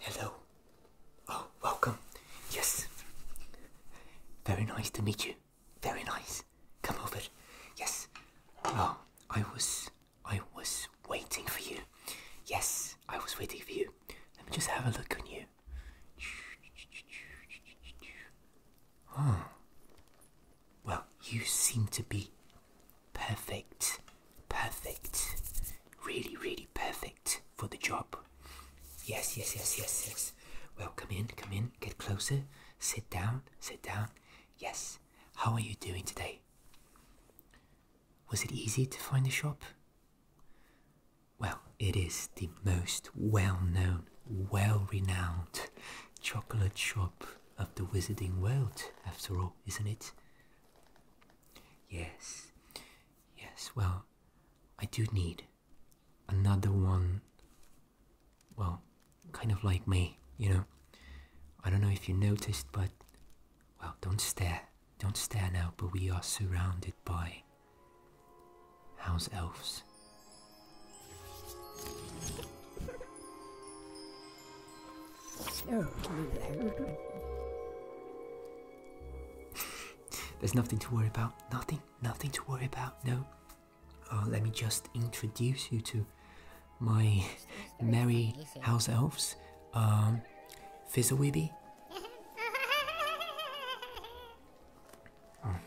Hello. Oh, welcome. Yes. Very nice to meet you. Very nice. Come over. Yes. Oh, I was I was waiting for you. Yes, I was waiting for you. Let me just have a look on you. Oh. Well, you seem to be perfect. Perfect. Really, really perfect for the job. Yes, yes, yes, yes, yes. Well, come in, come in, get closer. Sit down, sit down. Yes. How are you doing today? Was it easy to find the shop? Well, it is the most well known, well renowned chocolate shop of the wizarding world, after all, isn't it? Yes, yes, well, I do need another one, well, kind of like me, you know. I don't know if you noticed, but, well, don't stare. Don't stare now, but we are surrounded by house elves. Oh, There's nothing to worry about. Nothing, nothing to worry about. No, uh, let me just introduce you to my merry house elves, um,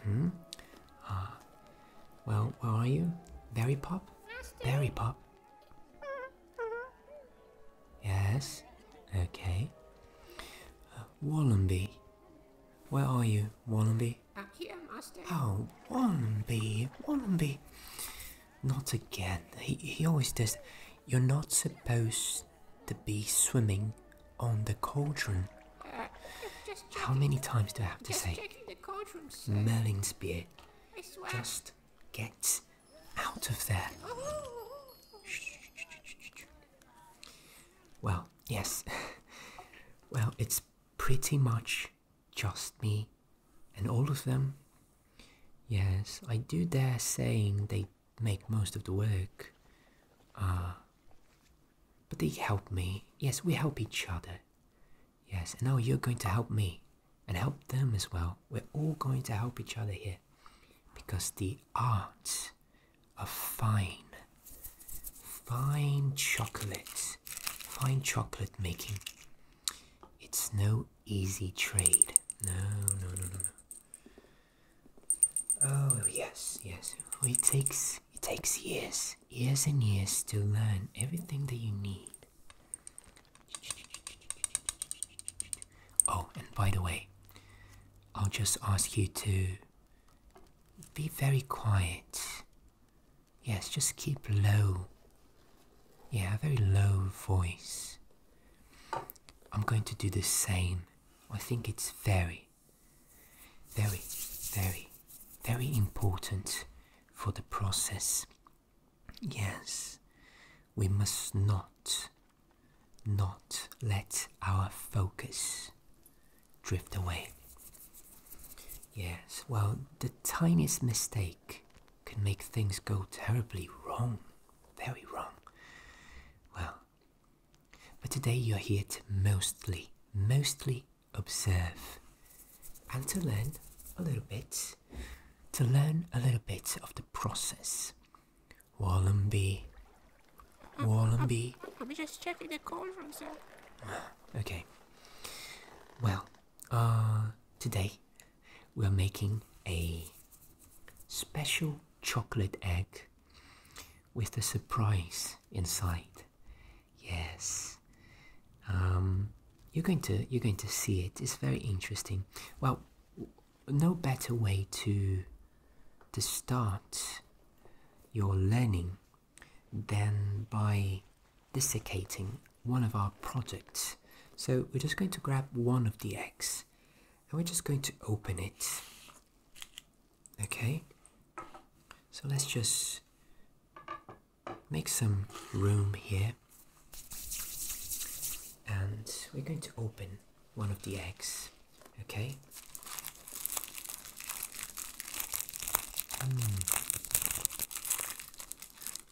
hmm well, where are you? Berry Pop? Berry Pop? Yes. Okay. Uh, where are you, Wannabe? Up here, Master. Oh, Wannabe, Wannabe. Not again. He, he always does. You're not supposed to be swimming on the cauldron. Uh, How many times do I have to say? Merlin's Spear, just get out of there. Oh. Well, yes. well, it's pretty much just me and all of them. Yes, I do dare saying they make most of the work. Uh, but they help me. Yes, we help each other. Yes, and now you're going to help me and help them as well. We're all going to help each other here because the arts a fine, fine chocolate, fine chocolate making. It's no easy trade. No, no, no, no, no. Oh yes, yes. It takes it takes years, years and years to learn everything that you need. Oh, and by the way, I'll just ask you to be very quiet. Yes, just keep low. Yeah, very low voice. I'm going to do the same. I think it's very, very, very, very important for the process. Yes, we must not, not let our focus drift away. Yes, well, the tiniest mistake can make things go terribly wrong, very wrong. Well, but today you're here to mostly, mostly observe and to learn a little bit, to learn a little bit of the process. Wallenby Wallenby. I'm just checking the cauldron, sir. Ah, okay. Well, uh, today we're making a special chocolate egg with a surprise inside. Yes. Um, you're going to you're going to see it. It's very interesting. Well, no better way to to start your learning then by desiccating one of our products. So we're just going to grab one of the eggs and we're just going to open it. Okay, so let's just make some room here and we're going to open one of the eggs. Okay. Hmm.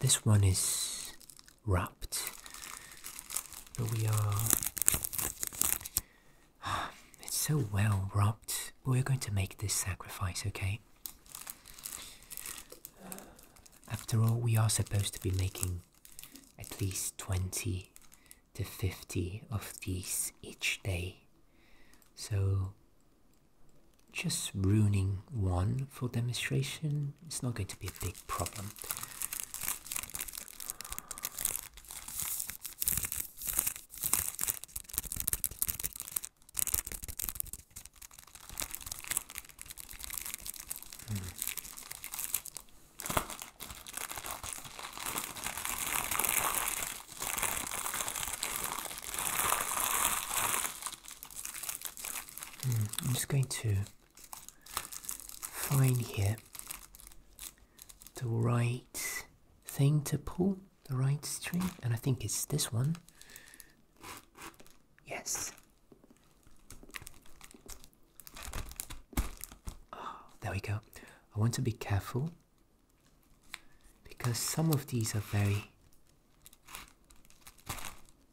This one is wrapped, but we are. It's so well wrapped, we're going to make this sacrifice, okay? After all, we are supposed to be making at least 20 to 50 of these each day. So just ruining one for demonstration is not going to be a big problem. Hmm. Hmm, I'm just going to find here the right thing to pull, the right string, and I think it's this one. Yes. Ah, there we go. I want to be careful because some of these are very,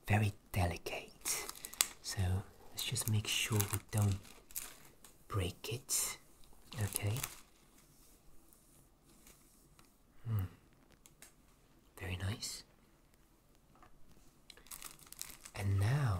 very delicate. So let's just make sure we don't break it. Okay. Mm. Very nice. And now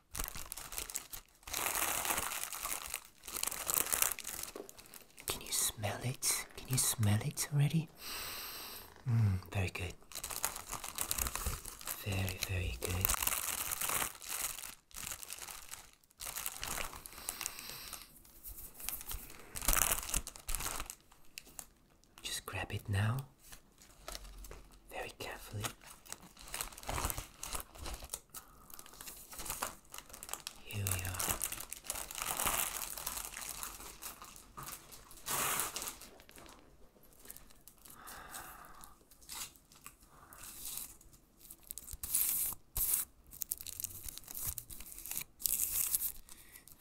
Can you smell it? Can you smell it already? Mm, very good. Very, very good. Just grab it now very carefully. Here we are.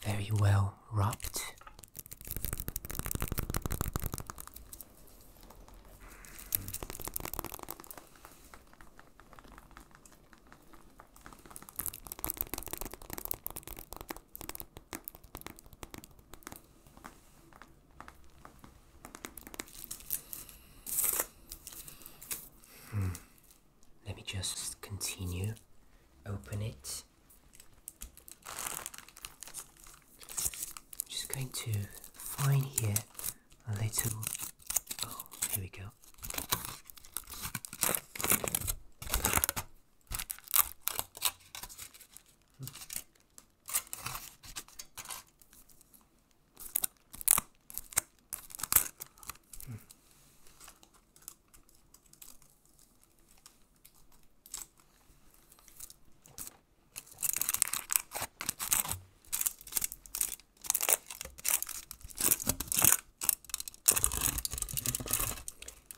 Very well wrapped. Hmm. Let me just continue. Open it. I'm just going to find here a little. Oh, here we go.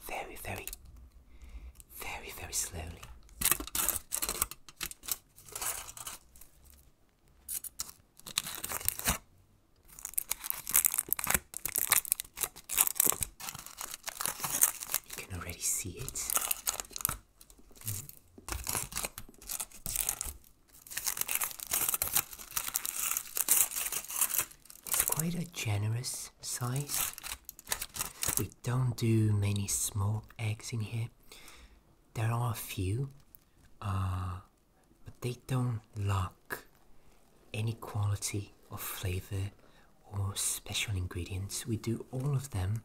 Very, very, very, very slowly. You can already see it. It's quite a generous size. We don't do many small eggs in here. There are a few, uh, but they don't lack any quality of flavor or special ingredients. We do all of them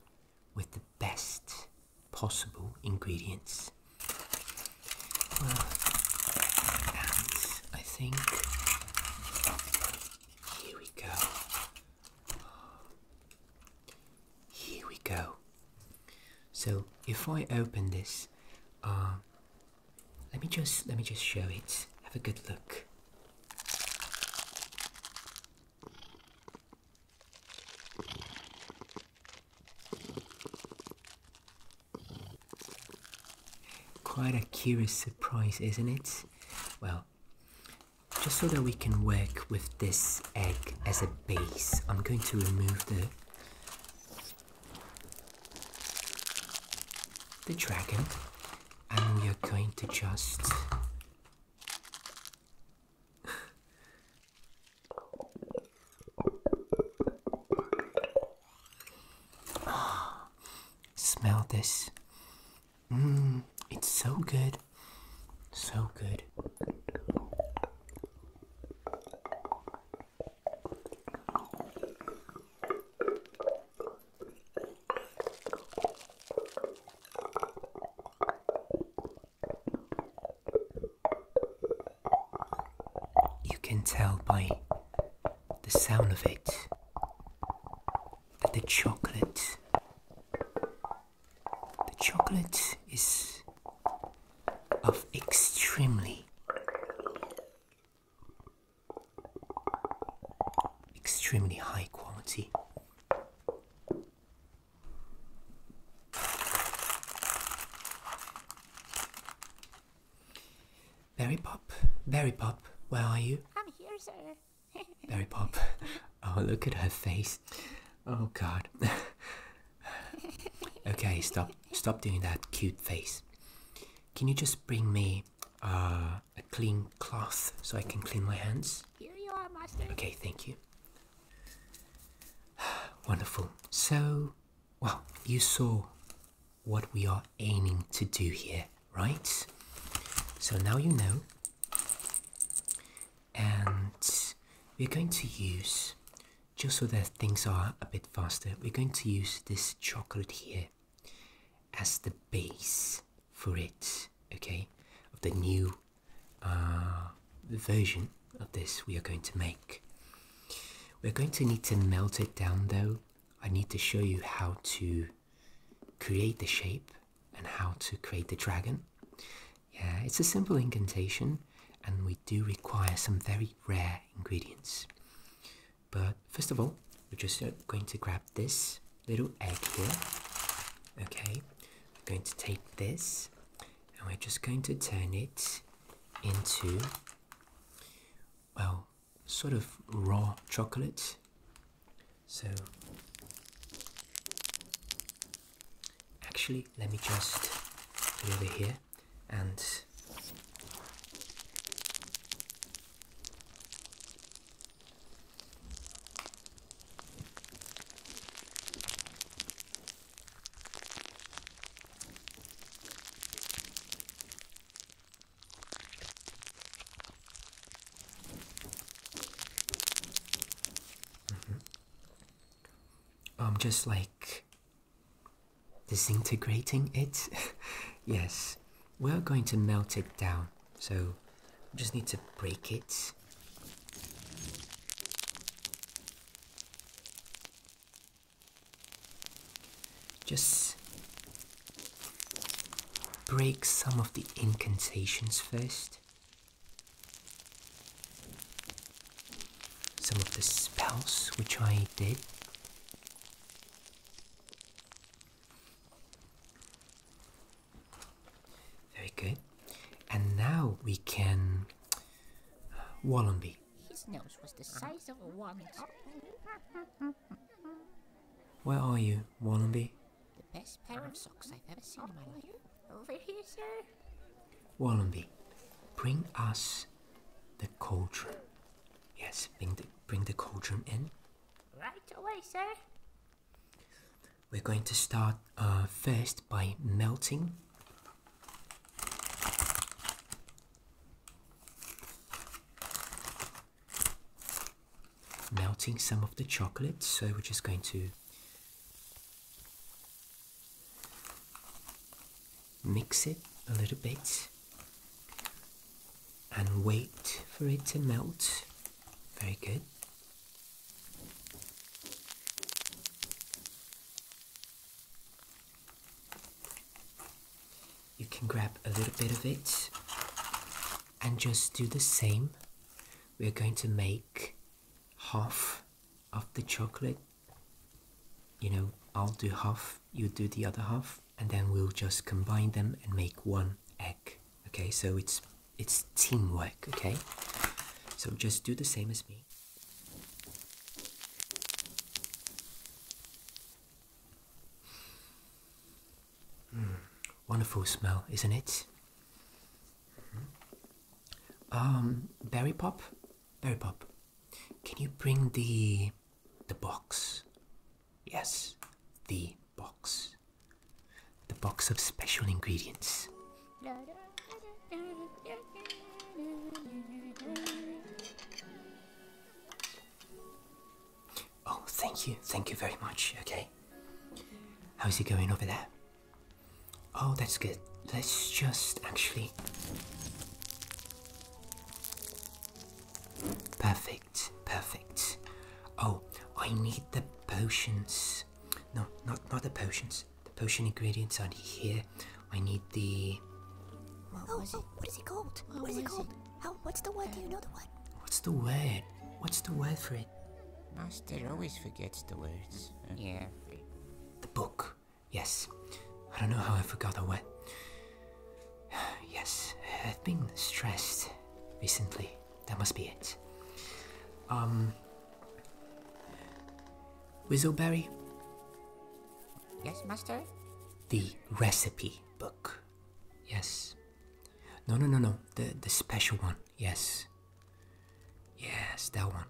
with the best possible ingredients. and I think here we go. Here we go. So if I open this, uh, let me just let me just show it. Have a good look. Quite a curious surprise, isn't it? Well, just so that we can work with this egg as a base, I'm going to remove the the dragon and we are going to just smell this. Mmm, it's so good. So good. You can tell by the sound of it that the chocolate the chocolate is of extremely extremely high quality Berry Pop, Berry Pop, where are you? I'm here, sir. Berry Pop. Oh, look at her face. Oh, God. okay, stop. Stop doing that cute face. Can you just bring me uh, clean cloth so I can clean my hands. Here you are, master. Okay, thank you. Wonderful. So, well, you saw what we are aiming to do here, right? So now you know. And we're going to use, just so that things are a bit faster, we're going to use this chocolate here as the base for it, okay, of the new uh, version of this we are going to make. We're going to need to melt it down though. I need to show you how to create the shape and how to create the dragon. Yeah, it's a simple incantation and we do require some very rare ingredients. But first of all, we're just uh, going to grab this little egg here. Okay, we're going to take this and we're just going to turn it into, well, sort of raw chocolate. So, actually, let me just put over here and I'm mm-hmm. um, just like disintegrating it. yes, we're going to melt it down so I just need to break it. Just break some of the incantations first. Some of the spells which I did. Very good. And now we can. Uh, Wallenby. His nose was the size of a walnut. Where are you, Wallenby? The best pair of socks I've ever seen in my life. Over here, sir. Wallenby, bring us the cauldron. Yes, bring the, bring the cauldron in. Right away, sir. We're going to start uh, first by melting melting some of the chocolate so we're just going to mix it a little bit and wait for it to melt very good you can grab a little bit of it and just do the same. We're going to make half of the chocolate. You know, I'll do half, you do the other half, and then we'll just combine them and make one egg. Okay, so it's it's teamwork, okay? So just do the same as me. Hmm, wonderful smell, isn't it? Hmm. Um, berry pop, berry pop. Can you bring the the box? Yes, the box. The box of special ingredients. Oh, thank you. Thank you very much. Okay. How's it going over there? Oh, that's good. Let's just actually. Perfect, perfect. Oh, I need the potions. No, not not the potions. The potion ingredients are not here. I need the. What oh, it? Oh, what is it called? what is it called? How? What's the word? Do you know the word? What's the word? What's the word for it? Master always forgets the words. Yeah. The book. Yes. I don't know how I forgot the word. yes, I've been stressed recently. That must be it. Um. Whizzleberry? Yes, Master? The recipe book. Yes. No, no, no, no. The, the special one. Yes. Yes, that one.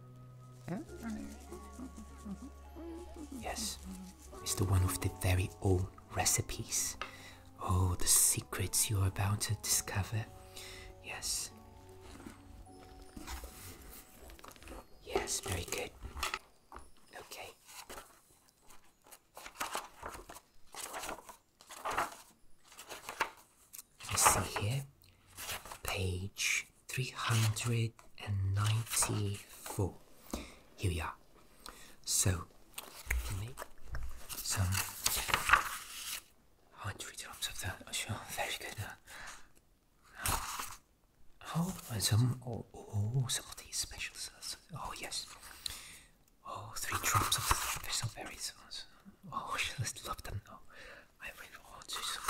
Yes. It's the one with the very old recipes. Oh, the secrets you are about to discover. Yes. Yes, very good. Okay. I see here, page 394. Here we are. So, some. hundred drops of that. Oh, sure, very good. Uh, uh oh, some. Oh, oh, some of these special sauces. Oh, yes. Oh, three drops of the special berry sauce. Oh, she just love them. Oh, I mean, want to some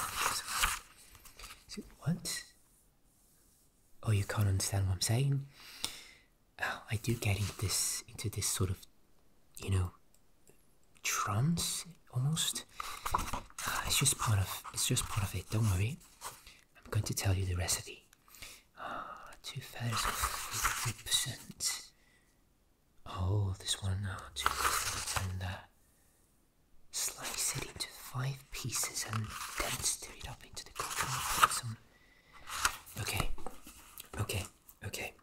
what? Oh, you can't understand what I'm saying. Oh, I do get into this into this sort of, you know, trance almost. Ah, it's just part of it's just part of it. Don't worry. I'm going to tell you the recipe. Ah, two thirds, fifty percent. Oh, this one now. Ah, two and uh, slice it into five pieces and then stir it up into the cooker. Okay. Okay. Okay,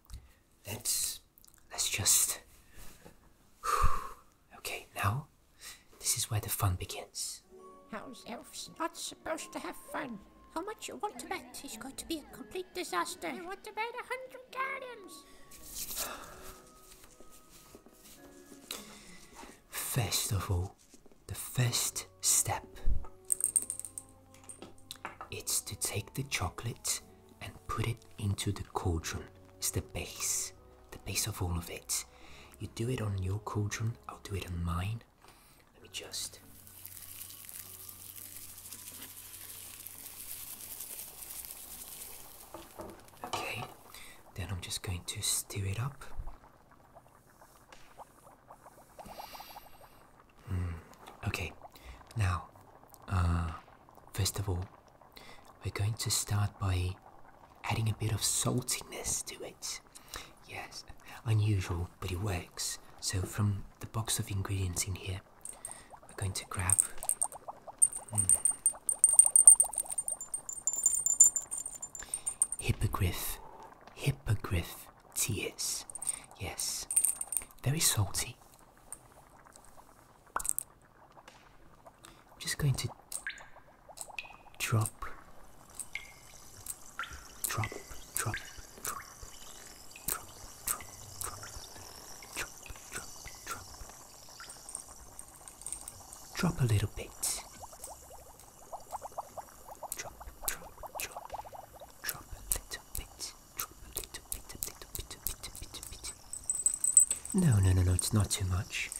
let's let's just. Okay, now this is where the fun begins. How's elves not supposed to have fun? How much you want to bet he's going to be a complete disaster. I want to bet a hundred galleons. First of all, the first step. It's to take the chocolate and put it into the cauldron. It's the base, the base of all of it. You do it on your cauldron, I'll do it on mine. Let me just. Okay, then I'm just going to stir it up. Mm. okay, now, uh, first of all, we're going to start by adding a bit of saltiness to it. Yes, unusual, but it works. So, from the box of ingredients in here, we're going to grab. Hmm, hippogriff. Hippogriff. Yes, Yes, very salty. I'm just going to drop, drop, drop, drop, drop, drop, drop, drop, drop, drop, drop a little bit. Drop, drop, drop, drop a little no, no, no, no, it's not too much.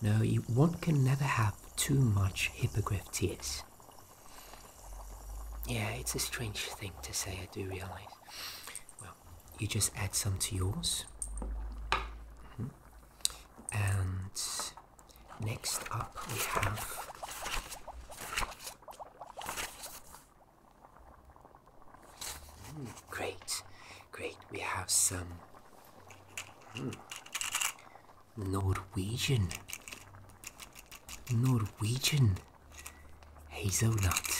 No, one can never have too much hippogriff tears. Yeah, it's a strange thing to say, I do realize. Well, you just add some to yours. Mm-hmm. And next up we have great, great. We have some hmm, Norwegian, Norwegian hazelnut.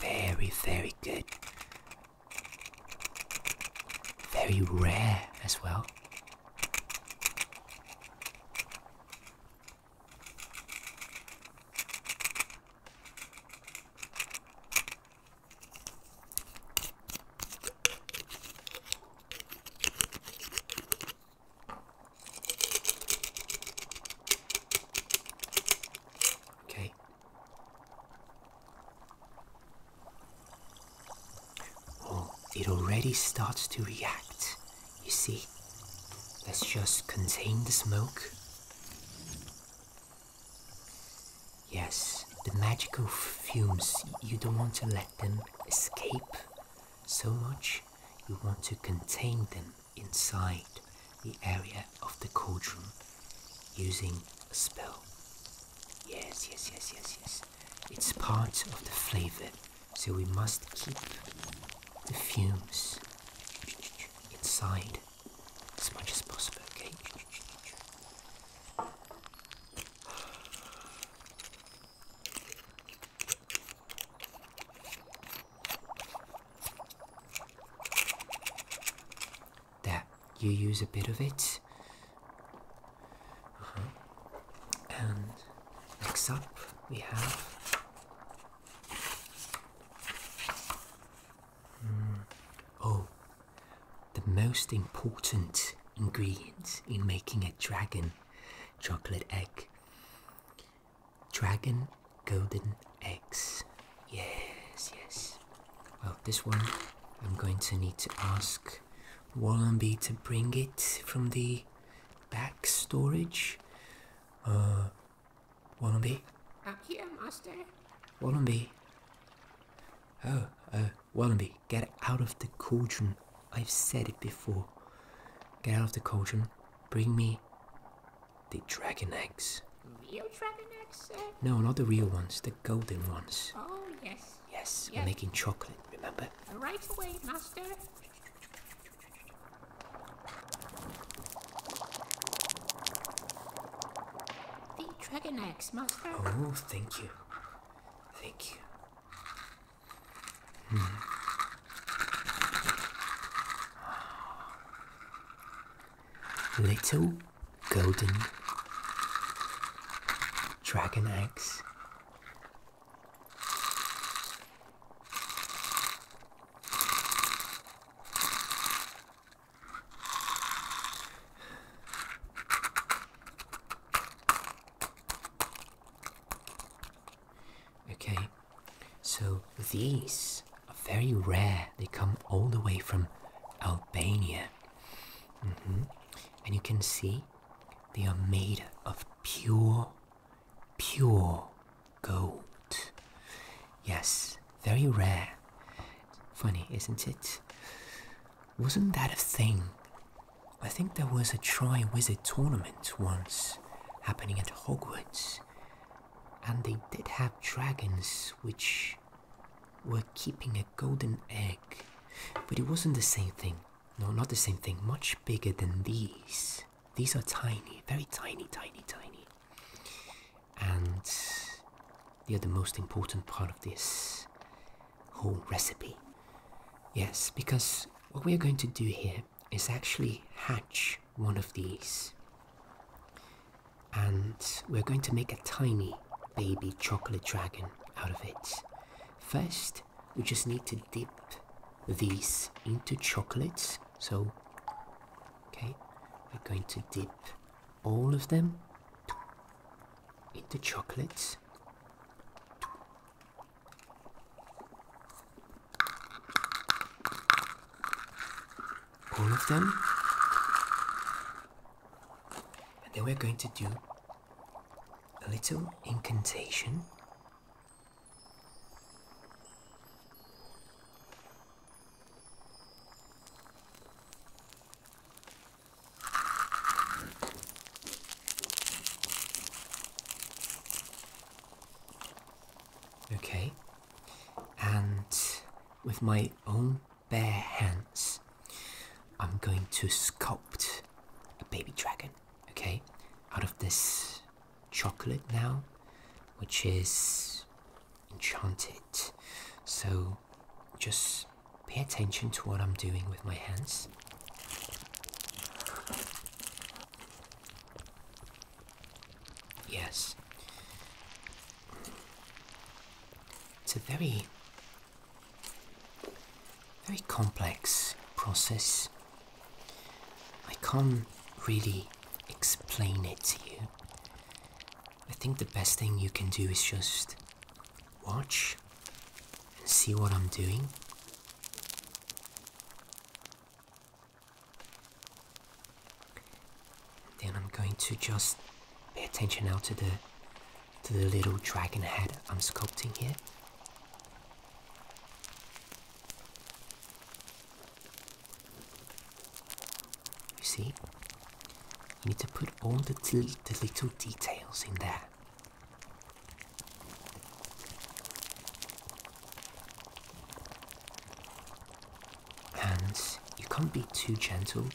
very, very good. Very rare as well. Okay. Oh, it already starts to react. You see? Let's just contain the smoke. Yes, the magical fumes, you don't want to let them escape so much. You want to contain them inside the area of the cauldron using a spell. Yes, yes, yes, yes, yes. It's part of the flavor, so we must keep the fumes inside as much as possible, okay? that you use a bit of it. Uh-huh. And next up, we have hmm, oh, the most important ingredient in making a dragon chocolate egg. Dragon golden eggs. Yes, yes. Well, this one I'm going to need to ask Wollombi, to bring it from the back storage. Wollombi, uh, Wallenby? here, Master. Wollombi. Oh, uh, Wollombi, get out of the cauldron. I've said it before. Get out of the cauldron. Bring me the dragon eggs. Real dragon eggs, sir? No, not the real ones, the golden ones. Oh, yes, Yes, yes. we're making chocolate, remember? Right away, Master. The dragon eggs, Master. Oh, thank you. Thank you. Hmm. Ah. Little Golden, Dragon Eggs, Okay, so these are very rare. They come all the way from Albania. Mm-hmm. And you can see they are made of pure, pure gold. Yes, very rare. Funny, isn't it? Wasn't that a thing? I think there was a Tri Wizard tournament once happening at Hogwarts, and they did have dragons which we're keeping a golden egg, but it wasn't the same thing. No, not the same thing. Much bigger than these. These are tiny, very tiny, tiny, tiny. And they are the most important part of this whole recipe. Yes, because what we're going to do here is actually hatch one of these. And we're going to make a tiny baby chocolate dragon out of it. First, we just need to dip these into chocolate. So, okay, we're going to dip all of them into chocolate. All of them. And then we're going to do a little incantation. Okay, and with my own bare hands, I'm going to sculpt a baby dragon, okay? Out of this chocolate now, which is enchanted. So just pay attention to what I'm doing with my hands. Yes. It's a very very complex process. I can't really explain it to you. I think the best thing you can do is just watch and see what I'm doing. Then I'm going to just Pay attention now to the to the little dragon head I'm sculpting here. You see? You need to put all the, the little details in there. And you can't be too gentle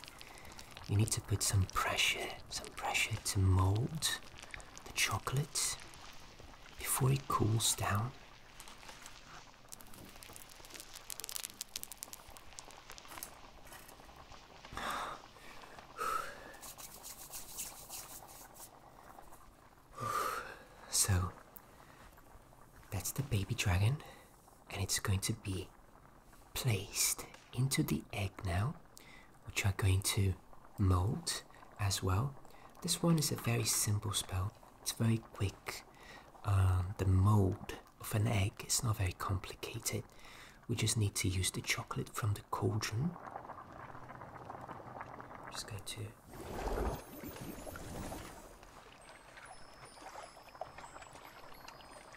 you need to put some pressure, some pressure to mold the chocolate before it cools down. So, that's the baby dragon and it's going to be placed into the egg now, which are going to mold as well. This one is a very simple spell, it's very quick. Um, the mold of an egg is not very complicated. We just need to use the chocolate from the cauldron. just go to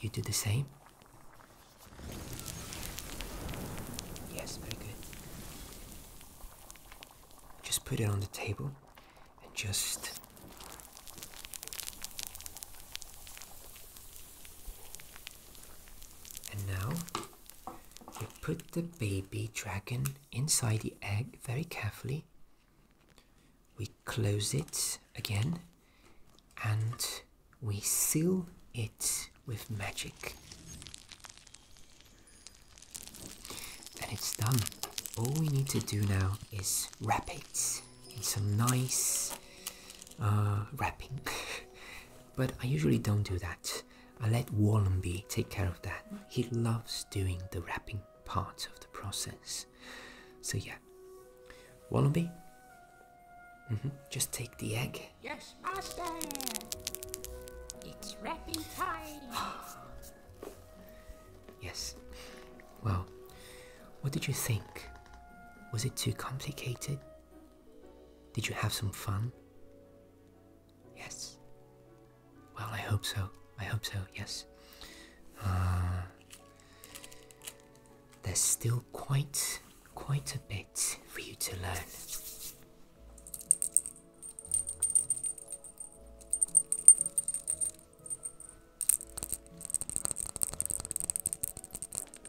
you do the same? Yes, very good. Just put it on the table and just And now you put the baby dragon inside the egg very carefully. We close it again and we seal it with magic. And it's done. All we need to do now is wrap it in some nice uh, wrapping. but I usually don't do that. I let Wallenby take care of that. He loves doing the wrapping part of the process. So yeah, Wallenby, -hmm. just take the egg. Yes, master. It's wrapping time. yes. Well, what did you think? Was it too complicated? Did you have some fun? Yes. Well, I hope so. I hope so, yes. Uh, there's still quite, quite a bit for you to learn.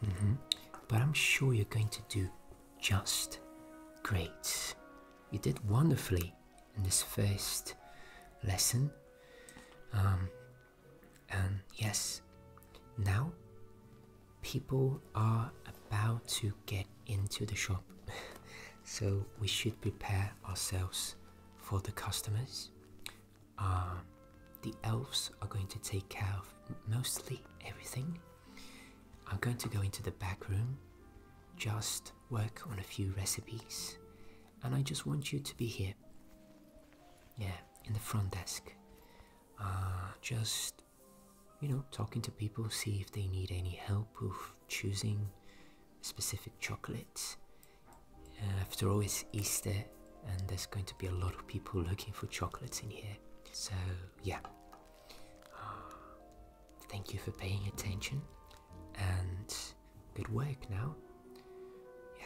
Mm-hmm. But I'm sure you're going to do just great. You did wonderfully in this first lesson. Um, and yes, now people are about to get into the shop, so we should prepare ourselves for the customers. Uh, the elves are going to take care of mostly everything. I'm going to go into the back room just work on a few recipes, and I just want you to be here. Yeah, in the front desk. Uh, just, you know, talking to people, see if they need any help with choosing specific chocolates. Uh, after all, it's Easter, and there's going to be a lot of people looking for chocolates in here. So, yeah. Uh, Thank you for paying attention and good work now. Yeah.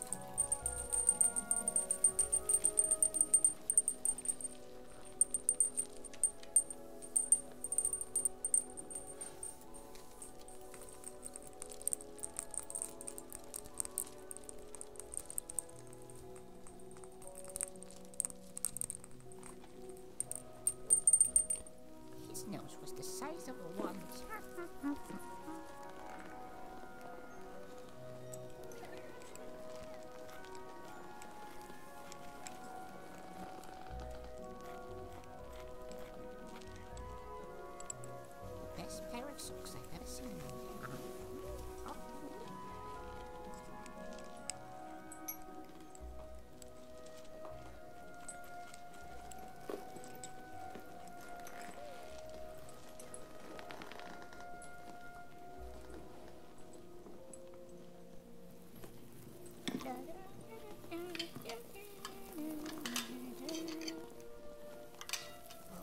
His nose was the size of a walnut. Best pair of socks I've ever seen.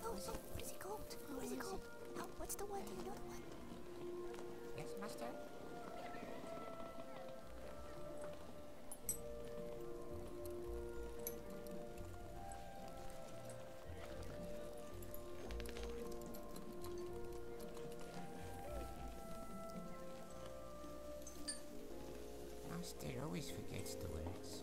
Oh, so what is it called? Oh, what is it called? Oh, what's the one? Do you know the one? Yes, master. Master always forgets the words.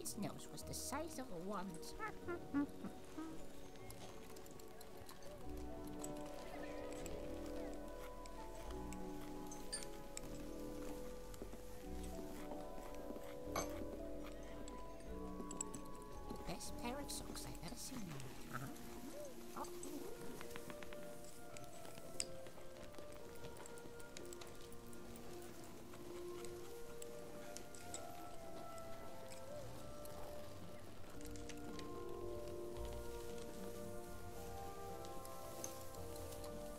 His nose was the size of a walnut. Best pair of socks I've ever seen. Uh-huh. Oh.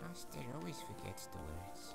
Master always forgets the words.